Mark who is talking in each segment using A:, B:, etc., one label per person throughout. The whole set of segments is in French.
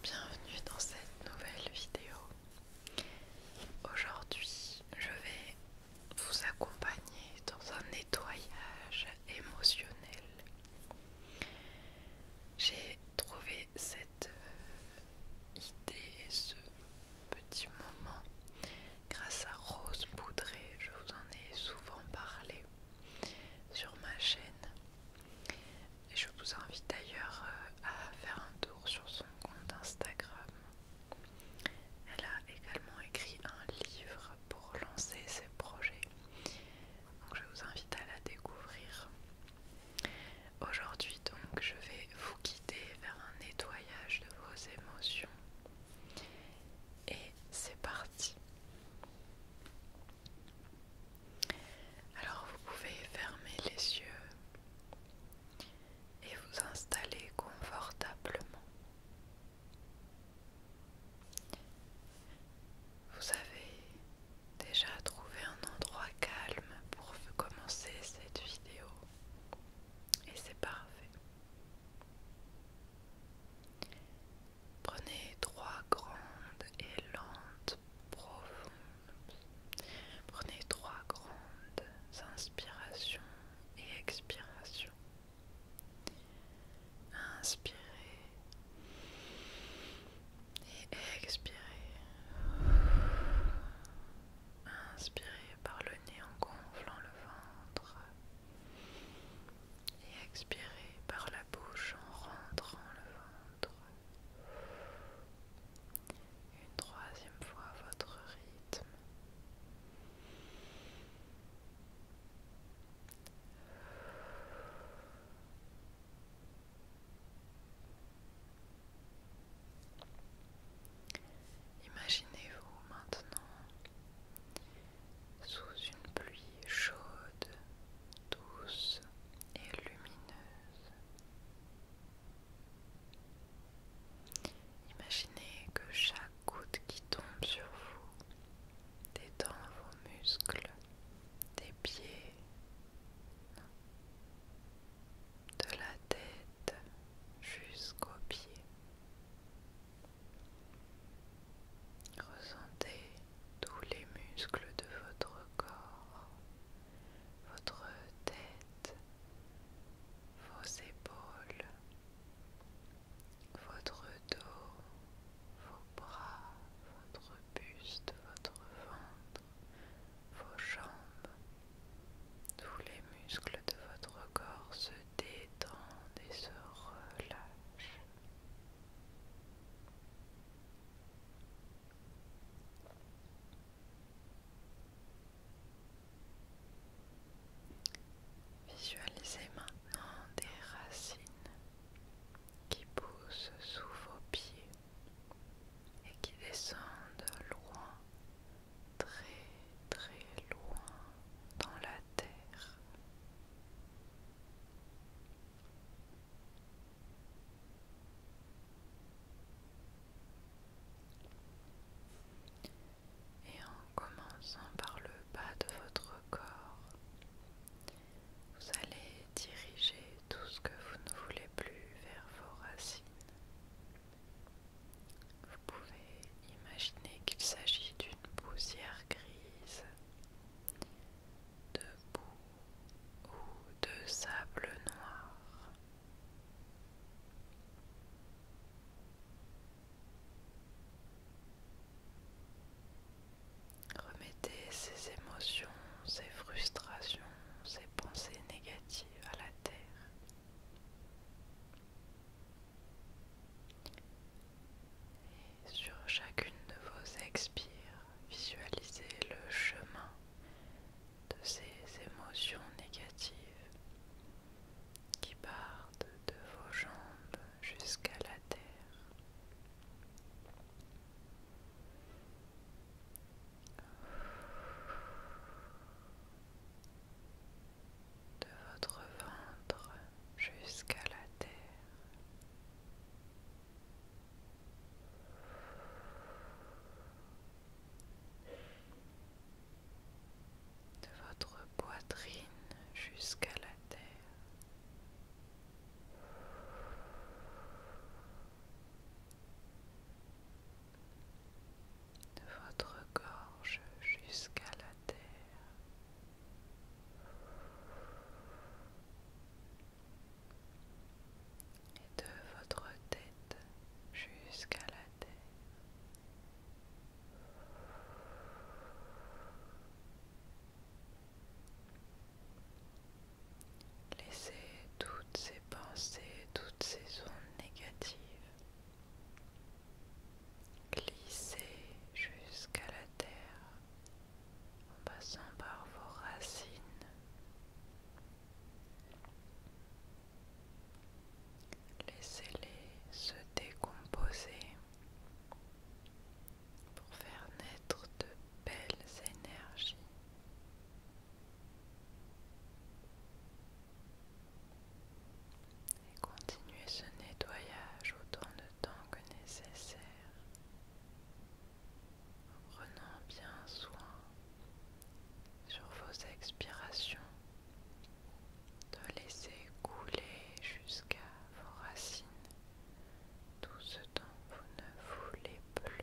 A: Bienvenue dans cette nouvelle vidéo. Aujourd'hui, je vais vous accompagner dans un nettoyage émotionnel. J'ai trouvé cette euh, idée, ce petit moment, grâce à Rose Boudré. Je vous en ai souvent parlé sur ma chaîne. Et je vous invite d'ailleurs euh, à faire un tour sur son compte Instagram. Elle a également écrit un livre pour lancer ses projets. Donc je vous invite à la découvrir. Aujourd'hui donc je vais vous guider vers un nettoyage de vos émotions. Et c'est parti. Alors vous pouvez fermer les yeux et vous installer confortablement. Vous avez déjà trouvé un endroit calme pour commencer cette vidéo et c'est parfait. Prenez trois grandes et lentes profondes. Prenez trois grandes inspirations et expirations. Inspirez et expirez. Inspirez par le nez en gonflant le ventre et expirez par la bouche en rentrant le ventre. Une troisième fois votre rythme. Imaginez-vous maintenant sous une pluie chaude, douce et lumineuse. Imaginez que chaque goutte qui tombe sur vous détend vos muscles des pieds, de la tête jusqu'aux pieds. Ressentez tous les muscles de votre corps, votre tête, vos épaules, votre dos, vos bras, votre buste, votre ventre, vos jambes. Tous les muscles de votre corps détendent et se relâchent. Visualisez maintenant des racines qui poussent sous vos pieds et qui descendent loin très très loin dans la terre. Et en commençant par le bas de votre corps, vous allez diriger tout ce que vous ne voulez plus vers vos racines. Vous pouvez imaginer qu'il s'agit d'une poussière grise, de boue ou de sable noir. Remettez ces émotions, ces frustrations, ces pensées négatives à la terre. Et sur chacune de vos expires, visualisez le chemin de ces émotions négatives qui partent de vos jambes jusqu'à la terre de votre ventre jusqu'à la terre. De votre poitrine jusqu'à la terre de votre gorge jusqu'à la terre. Et de votre tête jusqu'à la terre. Laissez toutes ces pensées, toutes ces ondes négatives glisser jusqu'à la terre en passant par vos racines. Laissez-les se décomposer pour faire naître de belles énergies. Et continuez ce nettoyage autant de temps que nécessaire prenant bien soin sur vos expirations de laisser couler jusqu'à vos racines tout ce dont vous ne voulez plus.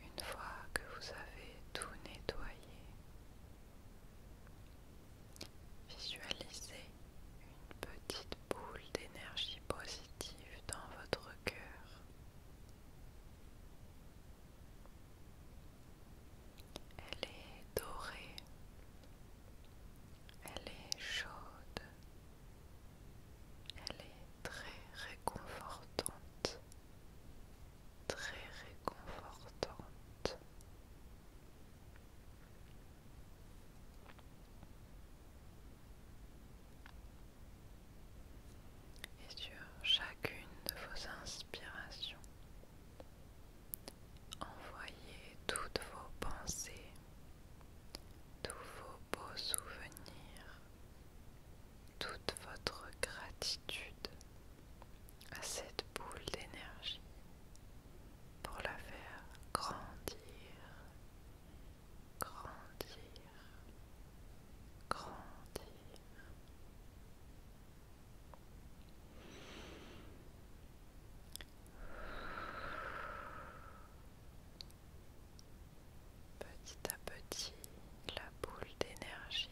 A: Une fois que vous avez tout nettoyé, Visualisez une petite boule d'énergie positive dans votre cœur. Elle est dorée. Elle est chaude. Elle est très réconfortante. Très réconfortante. Et sur chacune de vos inspirations, envoyez toutes vos pensées, tous vos beaux souvenirs, toute votre gratitude à cette boule d'énergie pour la faire grandir, grandir, grandir. Petit à petit, la boule d'énergie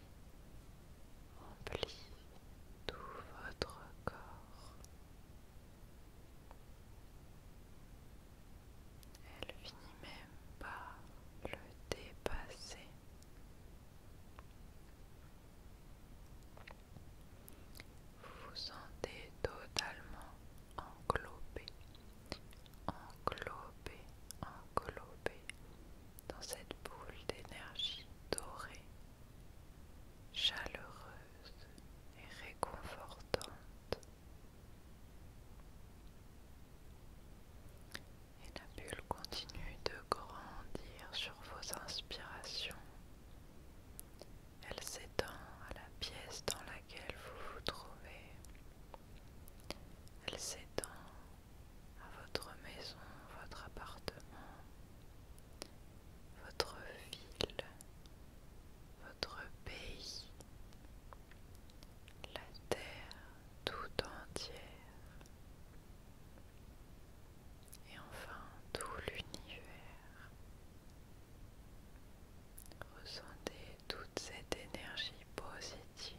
A: remplit tout votre corps. Elle finit même par le dépasser. Vous vous sentez totalement englobé, englobé, englobé dans cette boule d'énergie dorée, chaleureuse et réconfortante. Et la bulle continue de grandir sur vos inspirations. Elle s'étend à la pièce dans laquelle vous vous trouvez. Elle s'étend à votre maison, votre appartement, votre ville, votre pays, la terre tout entière et enfin tout l'univers. Ressentez toute cette énergie positive.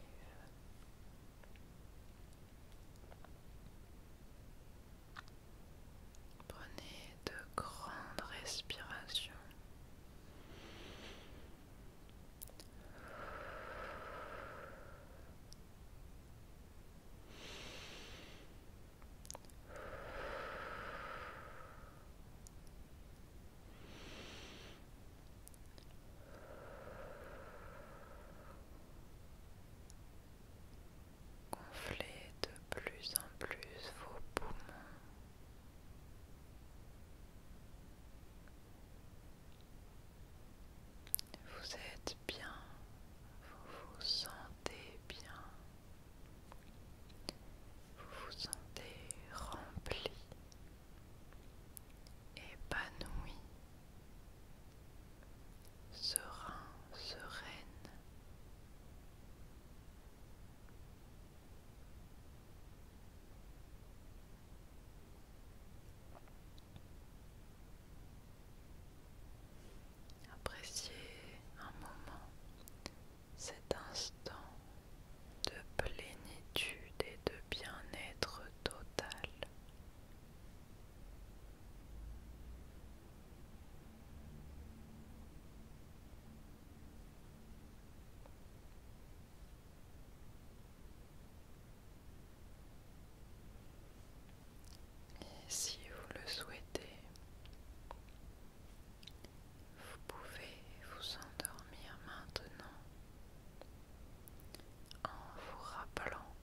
A: Prenez de grandes respirations. Gonflez de plus en plus vos poumons. Vous êtes bien, vous vous sentez bien, vous vous sentez rempli épanoui, serein, sereine. Appréciez un moment cet instant de plénitude et de bien-être total. Et si vous le souhaitez, vous pouvez vous endormir maintenant en vous rappelant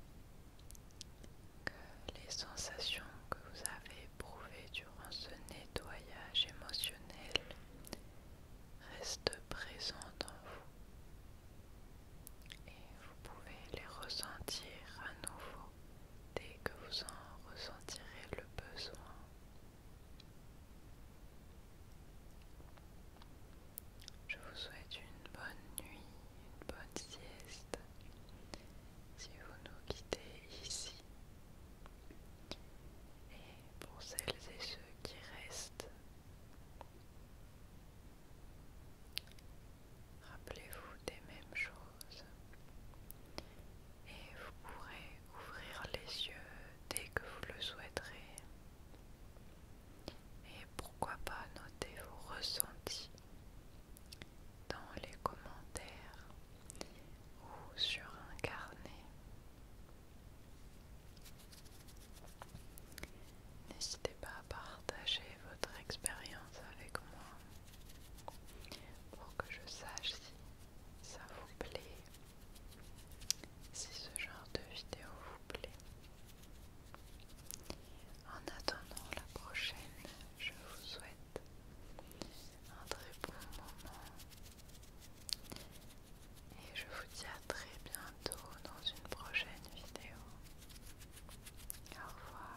A: que les sensations que vous avez éprouvées durant ce nettoyage émotionnel restent présentes en vous et vous pouvez les ressentir à nouveau dès que vous en ressentirez le besoin. Je vous souhaite une bonne nuit, une bonne sieste. Si vous nous quittez ici, et pour celles et ceux qui restent, rappelez-vous des mêmes choses et vous pourrez ouvrir les yeux dès que vous le souhaiterez et pourquoi pas noter vos ressentis dans les commentaires ou sur un carnet. N'hésitez pas à partager votre expérience avec moi pour que je sache si ça vous plaît si ce genre de vidéo vous plaît. En attendant la prochaine, je vous souhaite un très bon moment et je vous dis à très bientôt dans une prochaine vidéo. Au revoir.